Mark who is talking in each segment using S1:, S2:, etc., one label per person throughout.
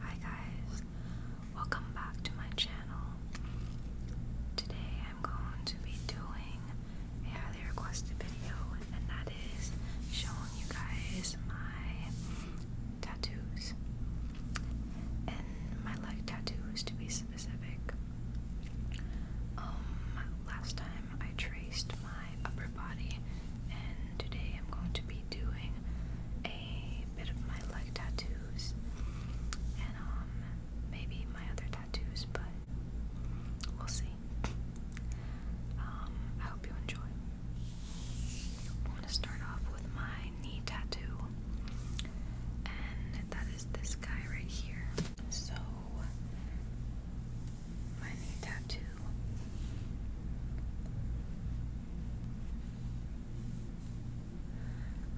S1: Hi guys, welcome back to my channel. Today I'm going to be doing a highly requested video and that is showing you guys my tattoos. And my leg tattoos to be specific. Um, last time I traced my upper body and today I'm going to be doing a a bit of my leg tattoos and um, maybe my other tattoos, but we'll see. Um, I hope you enjoy. I want to start off with my knee tattoo, and that is this guy right here. So, my knee tattoo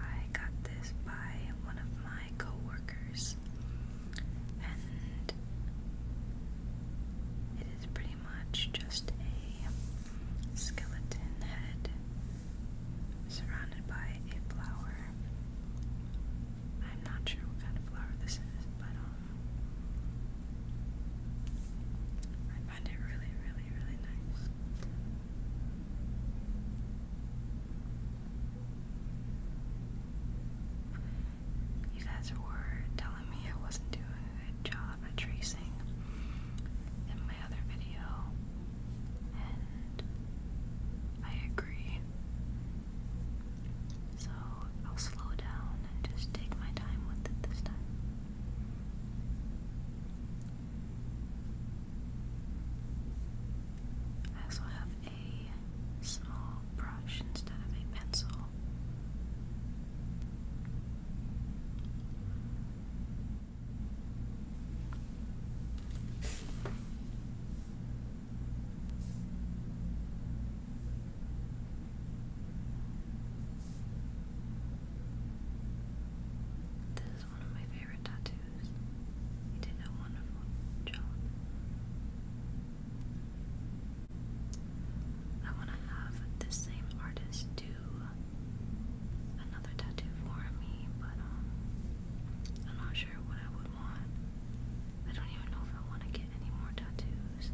S1: I got this by one of my coworkers, and it is pretty much just a skeleton head surrounded by a flower. I'm not sure what kind of flower this is, but um, I find it really, really, really nice. You guys were telling me I wasn't doing a good job at tracing in my other video, and I agree. So I'll slow down and just take my time with it this time. I also have a small brush instead of a pencil. This is one of my favorite tattoos. He did a wonderful job. I want to have the same artist do another tattoo for me, but um, I'm not sure what I would want. I don't even know if I want to get any more tattoos.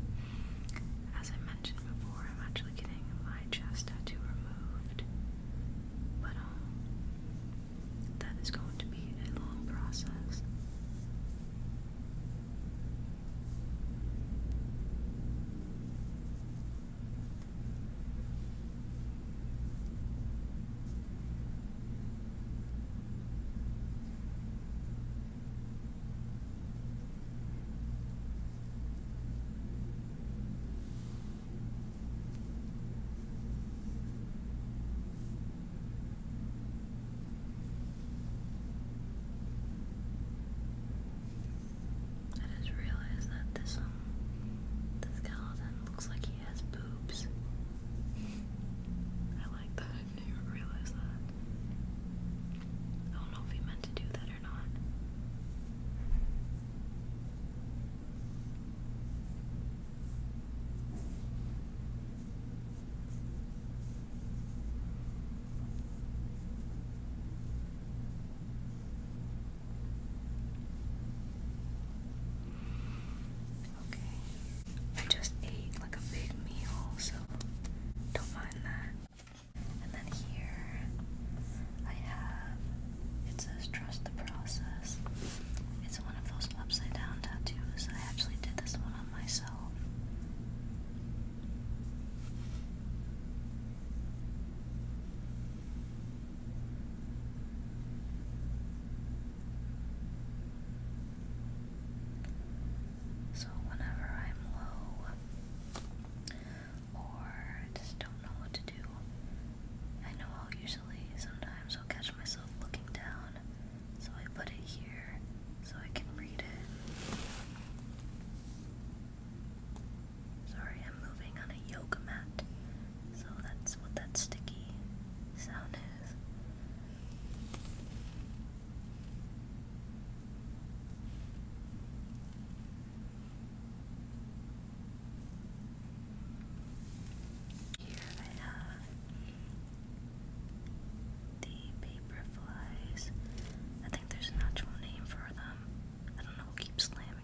S1: As I mentioned before, I'm actually getting my chest tattoo removed. But, um, that is going to be a long process. I just realized that this um skeleton looks like she has boobs. I like that. I didn't realize that. I don't know if he meant to do that or not. Okay, I just ate like a big meal, so don't mind that. And then here I have it says trust the process. It's one of those upside down tattoos. I actually did this one on myself. So, whenever I'm low or just don't know what to do, I know I'll usually sometimes I'll catch myself looking down, so I put it here so I can read it. Sorry, I'm moving on a yoga mat. So that's what that sticky sound is. Here I have the paperflies. I think there's an actual name for them. I don't know, keep slamming.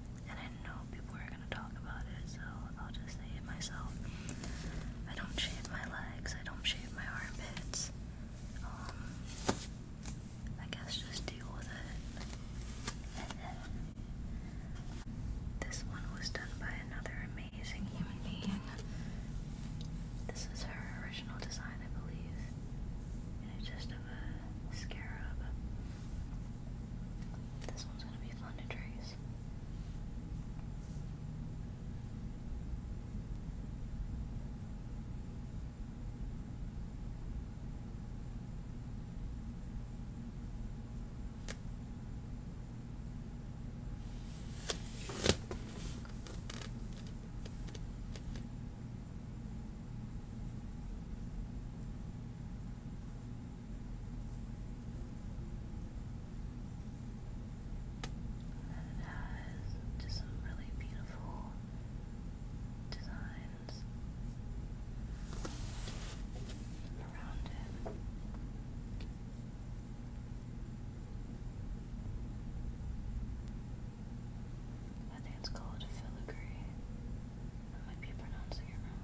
S1: and I know people are gonna talk about it, so I'll just say it myself. I don't shave my legs, I don't shave my armpits. Um, I guess just deal with it. this one was done by another amazing human being. This is her original design, I believe. And it's just a scarab. This one's gonna be fun to trace. And it has just some really beautiful designs around it. I think it's called filigree. I might be pronouncing it wrong.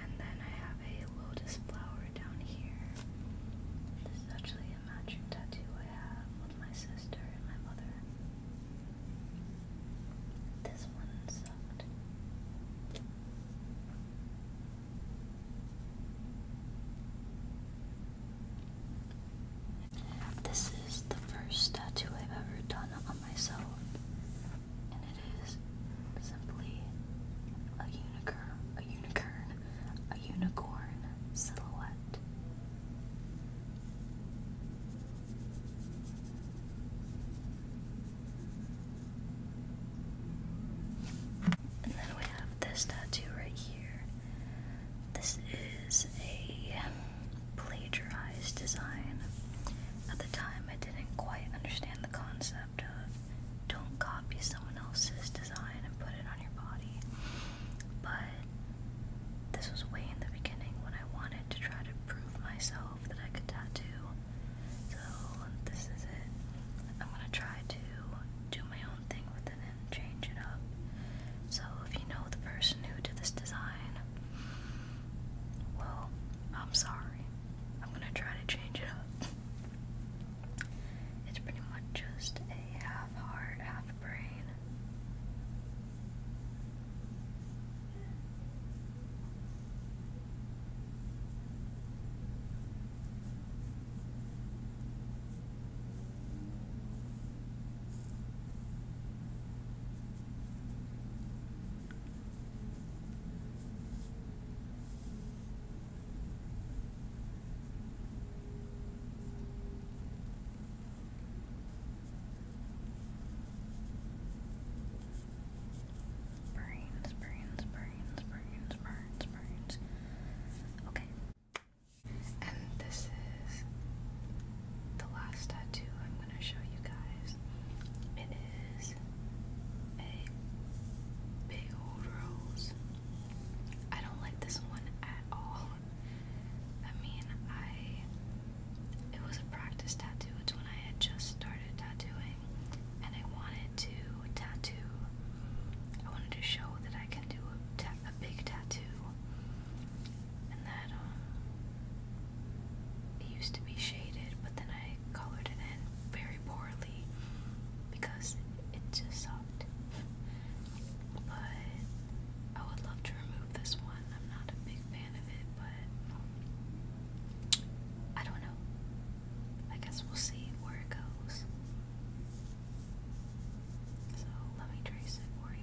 S1: And then I have a lotus flower down here. This is actually a matching tattoo I have with my sister and my mother. This one sucked. This is the first tattoo I've ever done on myself, and it is simply a unicorn, a unicorn, a unicorn silhouette. And then we have this tattoo right here. This is a plagiarized design. At the time, I didn't quite understand the concept of don't copy someone else's design and put it on your body. But this was way in the beginning when I wanted to try to prove myself that I could tattoo. So, this is it. I'm gonna try to do my own so if you know the person who did this design, well, I'm sorry. I'm gonna try to change it up. it's pretty much just a half heart, half brain. Brains, brains, brains, brains, brains, brains. Okay. And this is the last tattoo I'm going to show you guys. It is a big old rose. I don't like this one at all. I mean, I. It was a practice tattoo. It's when I had just started tattooing, and I wanted to tattoo I wanted to show that I can do a, big tattoo, and that um, it used to be shaded, but then I colored it in very poorly because it just sucked. but I would love to remove this one. I'm not a big fan of it, but I don't know. I guess we'll see where it goes. So let me trace it for you.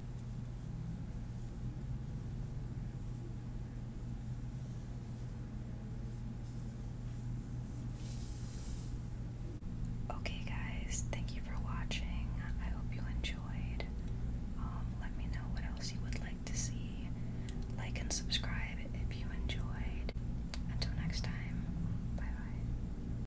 S1: Okay, guys, thank you for watching. I hope you enjoyed. Um, let me know what else you would like to see. Like and subscribe if you enjoyed. Until next time, bye bye.